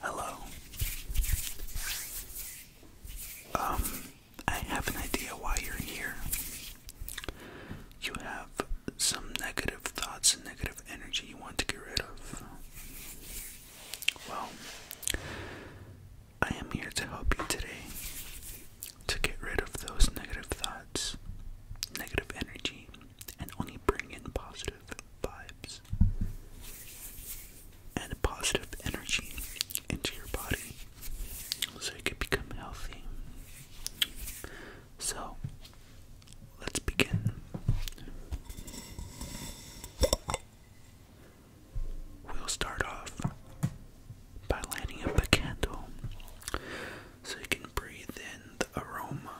Hello. Um, I have an idea why you're here. You have some negative thoughts and negative energy you want to get rid of. Well, I am here to help you today to get rid of those negative thoughts, negative energy, and only bring in positive positive vibes and positive energy into your body so you can become healthy. So, let's begin we'll start off by lighting up a candle so you can breathe in the aroma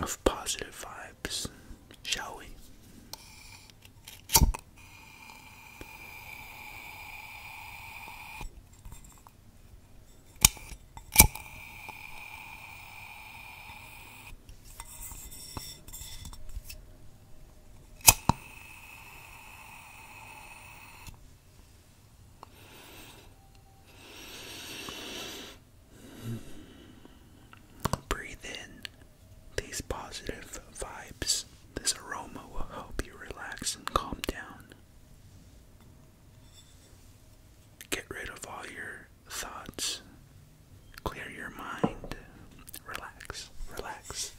of positive vibes, shall we? Breathe in these positive vibes. This aroma will help you relax and calm down. Get rid of all your thoughts. Clear your mind. Relax, relax.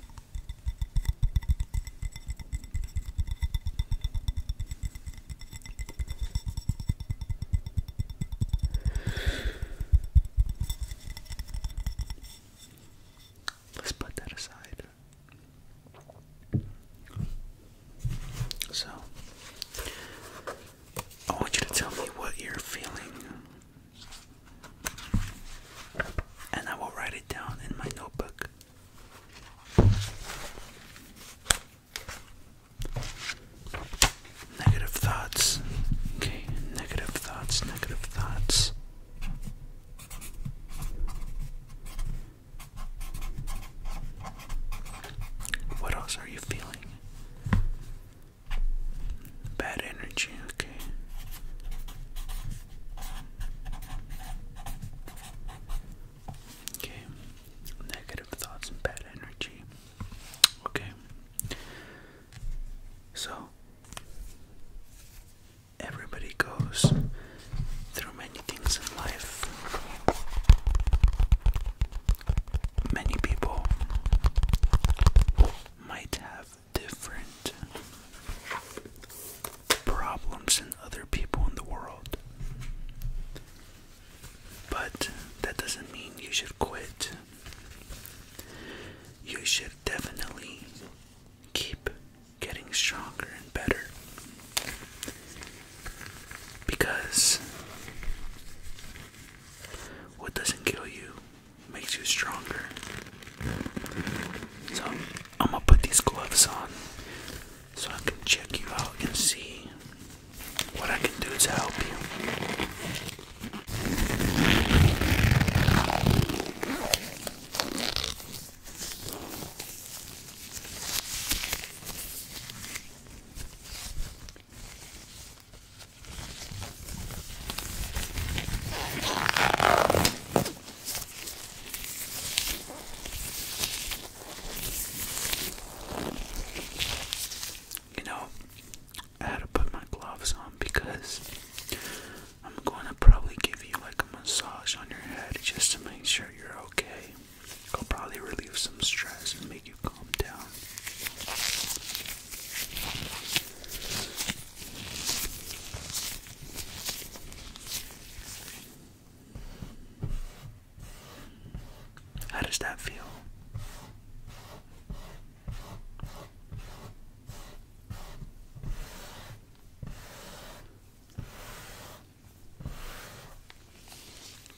Let's put that aside. So, I want you to tell me what you're feeling, and I will write it down in my notebook. Negative thoughts. Okay, negative thoughts, negative thoughts. What else are you feeling? Bad energy, okay. Okay, negative negative thoughts and bad energy. Okay. So everybody goes through many things in life. Many people might have different problems than other people in the world. But that doesn't mean you should quit. You should definitely keep getting stronger and better. Because what doesn't kill you makes you stronger. So I'm gonna put these gloves on so I can check you out and see what I can do to help you. You know, I had to put my gloves on because I'm going to probably give you like a massage on your head just to make sure you're okay. i will probably relieve some stress and make you calm down. How does that feel?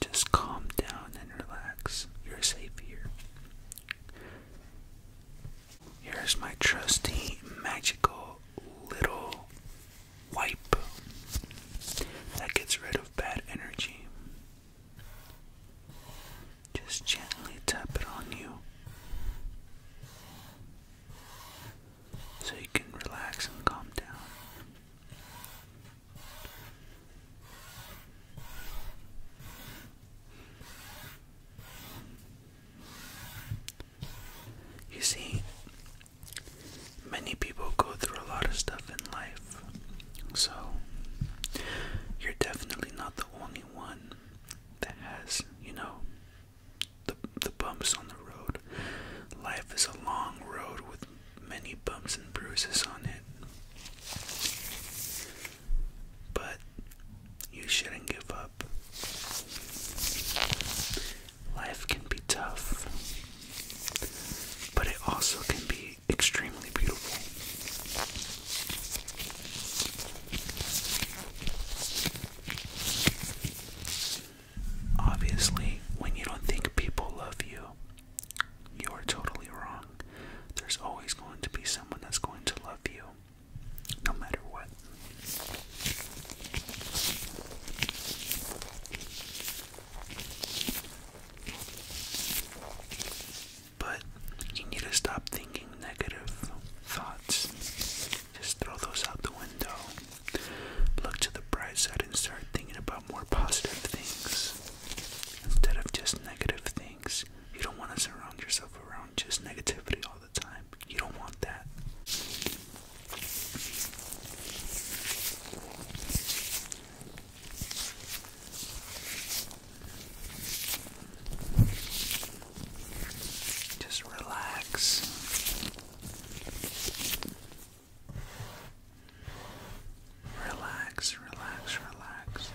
Just calm down and relax. You're safe here. Here's my trusty magical little wipe. That gets rid of bad energy. Just gently tap it on you so you can relax and calm down. You see, Many people go through a lot of stuff in life, so you're definitely not the only one that has, you know, the, the bumps on the road. Life is a long road with many bumps and bruises on it. But you shouldn't give up. Life can be tough, but it also can be extremely beautiful. Obviously, when you don't think people love you, you're totally wrong. There's always going to be someone that's going to love you, no matter what. But you need to stop thinking negative thoughts. Just throw those out the window. Look to the bright side and start thinking about more positive things instead of just negative things. You don't want to surround yourself around just negativity all the time. You don't want that. Just relax. Relax, relax, relax.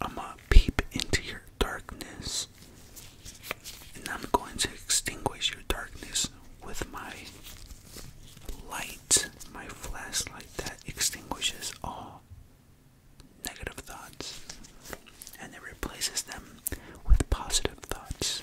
I'm gonna peep into your darkness, and I'm going to extinguish your darkness with my light, my flashlight that extinguishes all negative thoughts and it replaces them with positive thoughts.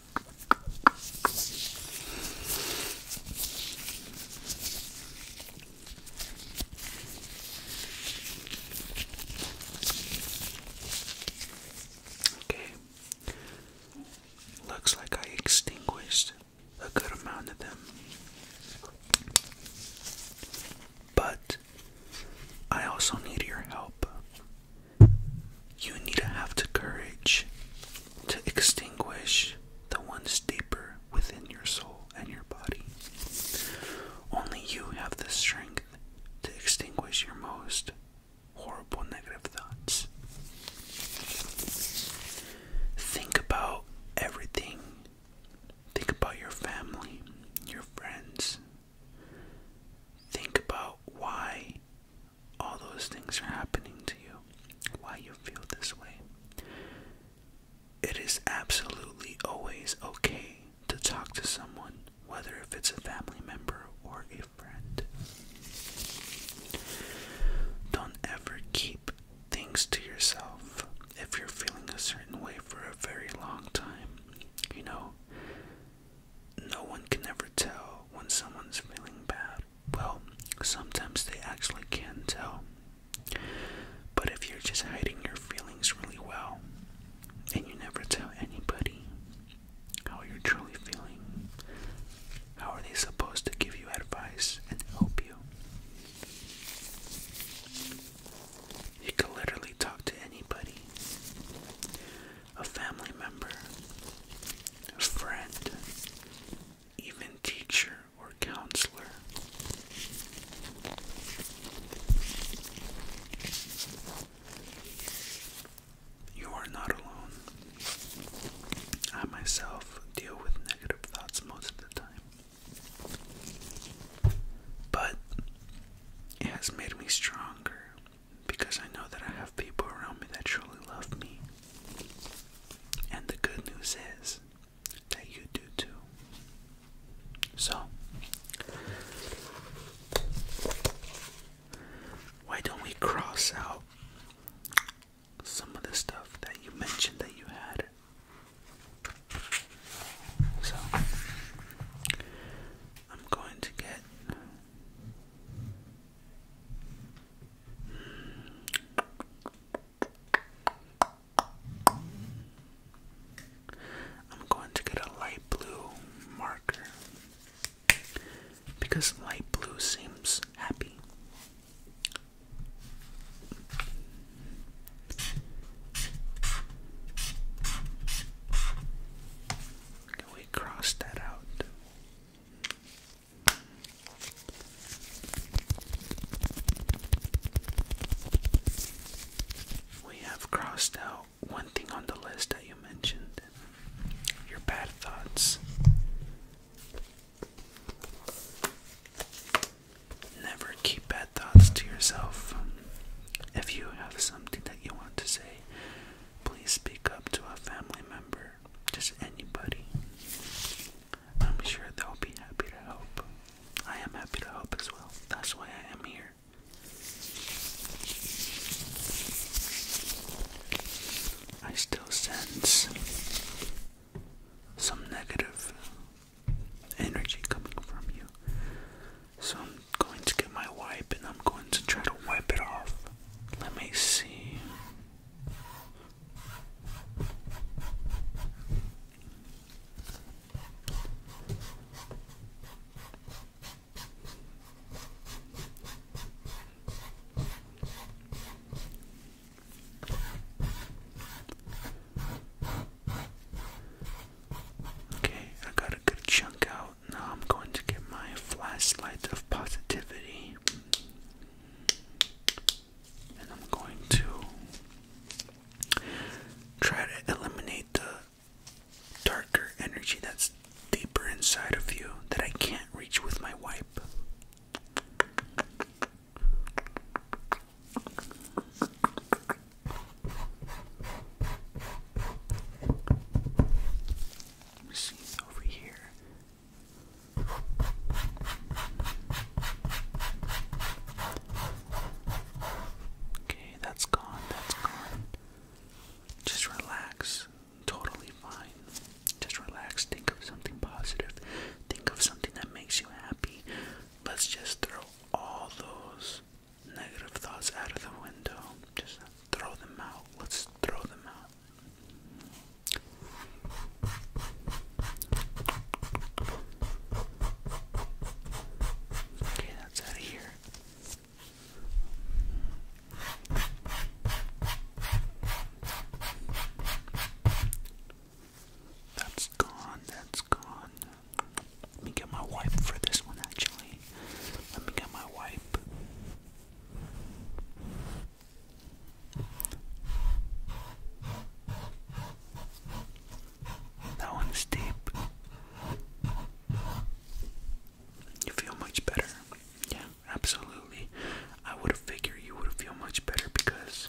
Okay. Looks like I extinguished a good amount of them. But I also need your help. You need to have the courage to extinguish the ones deeper within your soul and your body. Only you have the strength to extinguish your most horrible negative thoughts. Think about everything. Think about your family, your friends. Think about why all those things are happening to you, why you feel this way. It is absolutely always okay to talk to someone, whether if it's a family member or a friend. Don't ever keep things to yourself if you're feeling a certain way for a very long time. You know, no one can ever tell when someone's feeling bad well, sometimes they actually can tell. But if you're just hiding your feelings really well and you never tell anybody how you're truly feeling, how are they supposed to give you advice and help you? You can literally talk to anybody a family member, a friend, even teacher or counselor. You are not alone. I myself deal with negative thoughts most of the time. But it has made me stronger because I know that I have people around me that truly love me. And the good news is that you do too. So, why don't we cross out some of the stuff that you mentioned that you had? So, I'm going to get I'm going to get a light blue marker because light blue seems happy. Can we cross that out? We have crossed out one thing on the list that you mentioned your bad thoughts. Never keep bad thoughts to yourself. If you have something that you want to say, Please speak up to a family member, just anybody. I'm sure they'll be happy to help. I am happy to help as well. That's why I am here. I still sense some negative energy coming from you. So going to get my wipe and I'm going to try to wipe it off. Let me see. Okay, I got a good chunk out now I'm going to get my flashlight of positivity. And I'm going to try to eliminate the darker energy that's deeper inside of you that I can't reach with my wipe. Machines over here. Okay, that's gone, that's gone. Just relax. Totally fine. Just relax. Think of something positive. Think of something that makes you happy. Let's just throw all those negative thoughts out of the window. Just throw them out. Let's throw them out. Okay, that's out of here. That's gone, that's gone. Let me get my wipe for this one actually. Let me get my wipe. That one's deep. You feel much better. Yeah, absolutely. I would have figured you would feel much better because,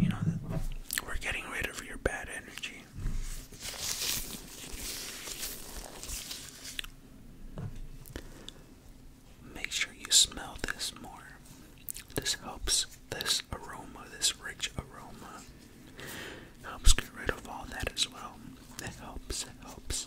you know, we're getting rid of your bad energy. Make sure you smell this more. This helps this aroma, this rich aroma, helps get rid of all that as well. It helps, it helps.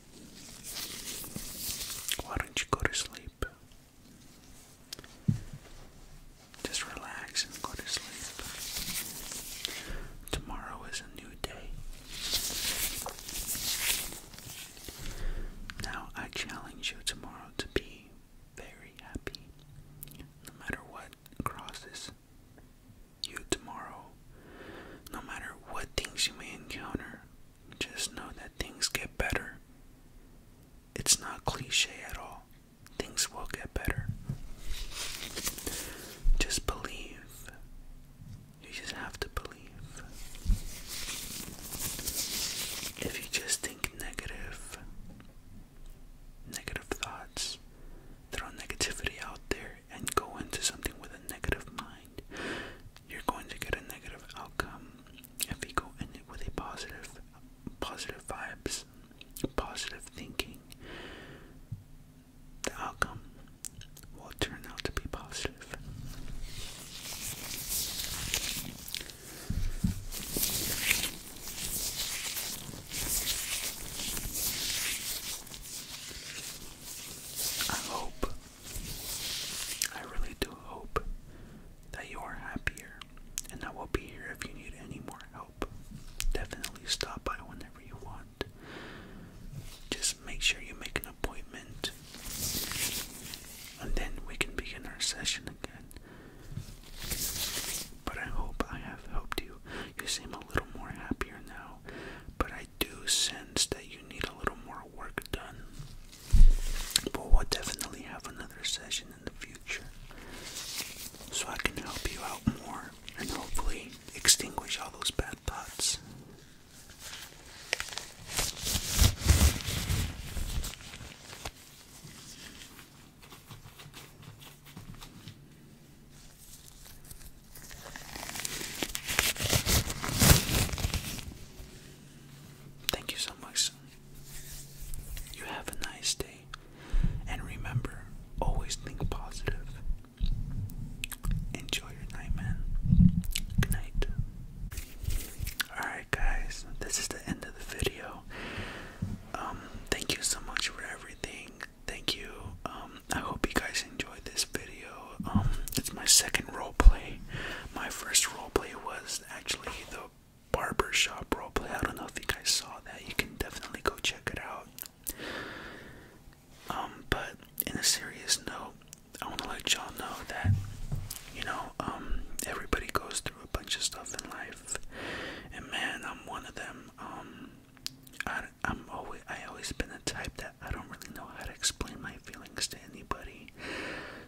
Why don't you go to sleep? Just relax and go to sleep. Tomorrow is a new day. Now I challenge you tomorrow to be very happy. No matter what crosses you tomorrow, no matter what things you may encounter, just know things get better. It's not cliche at all. Things will get better. Just believe. You just have to believe. If you just think negative, negative thoughts, throw negativity out there and go into something with a negative mind, you're going to get a negative outcome if you go in it with a positive positive vibes, positive thinking. The outcome will turn out to be positive. I hope I really do hope that you are happier, and that we will be here if you need any more help. Definitely stop by whenever you want. Just make sure you make an appointment, and then we can begin our session again. But I hope I have helped you. You seem a little more happier now, but I do sense that you need a little more work done. But we'll definitely have another session in the future so I can help you out more and hopefully extinguish all those bad thoughts. Thank you so much. You have a nice day. And remember, always think positive. Enjoy your night, man. Good night. Alright, guys, this is the end of the video. Um, thank you so much for everything. Thank you, um, I hope you guys enjoyed this video. Um, it's my second role play. My first role play was actually the barber shop role play. I don't know if you guys saw that. You can definitely go check it out. Um, but in a serious note, I want to let y'all know that, you know, um, everybody goes through a bunch of stuff in life. And man, I'm one of them. Um, I, I'm always I always been the type that I don't really know how to explain my feelings to anybody.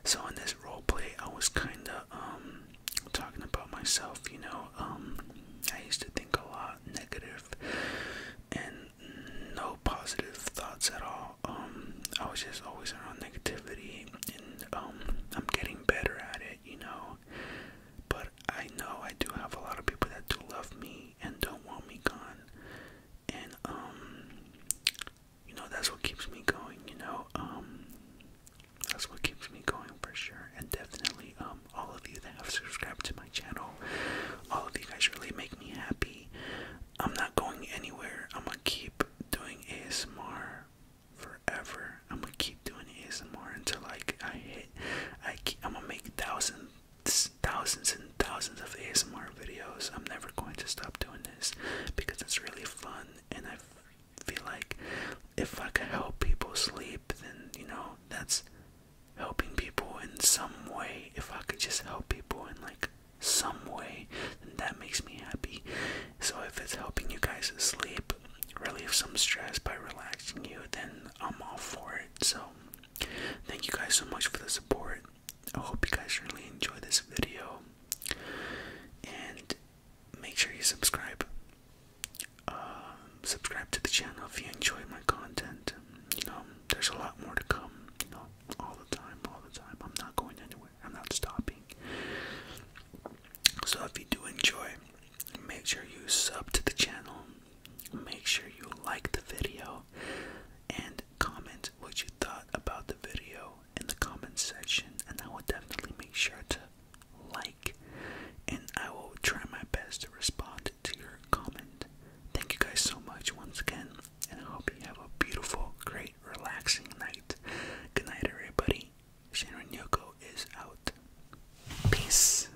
So in this role play, I was kind of um talking about myself. You know, um, I used to think a lot negative and no positive thoughts at all. Um, I was just always around negativity, and um, I'm getting better at it. You know, but I know I do have a lot of people that do love me and don't want me gone. And um you know that's what keeps me going, you know. Um that's what keeps me going for sure. And definitely um all of you that have subscribed to my channel, all of you guys really make me happy. I'm not going anywhere. I'm gonna keep doing ASMR forever. I'm gonna keep doing ASMR until like I hit I keep, I'm gonna make a thousand thousands and thousands of ASMR videos. I'm never going to stop doing this because it's really fun and I feel like if I could help people sleep, then you know, that's helping people in some way. If I could just help people in like some way, then that makes me happy. So if it's helping you guys sleep, relieve some stress by relaxing you, then I'm all for it. So Thank you guys so much for the support. I hope you guys really enjoy this video. And make sure you subscribe. Um, subscribe to the channel if you enjoy my content. You know, there's a lot more to come. You know, all the time, all the time. I'm not going anywhere. I'm not stopping. So if you do enjoy, make sure you sub to the channel Make sure you like the video and comment what you thought about the video in the comment section, and I will definitely make sure to like and I will try my best to respond to your comment. Thank you guys so much once again, and I hope you have a beautiful, great, relaxing night. Good night, everybody. Shannon Yoko is out. Peace.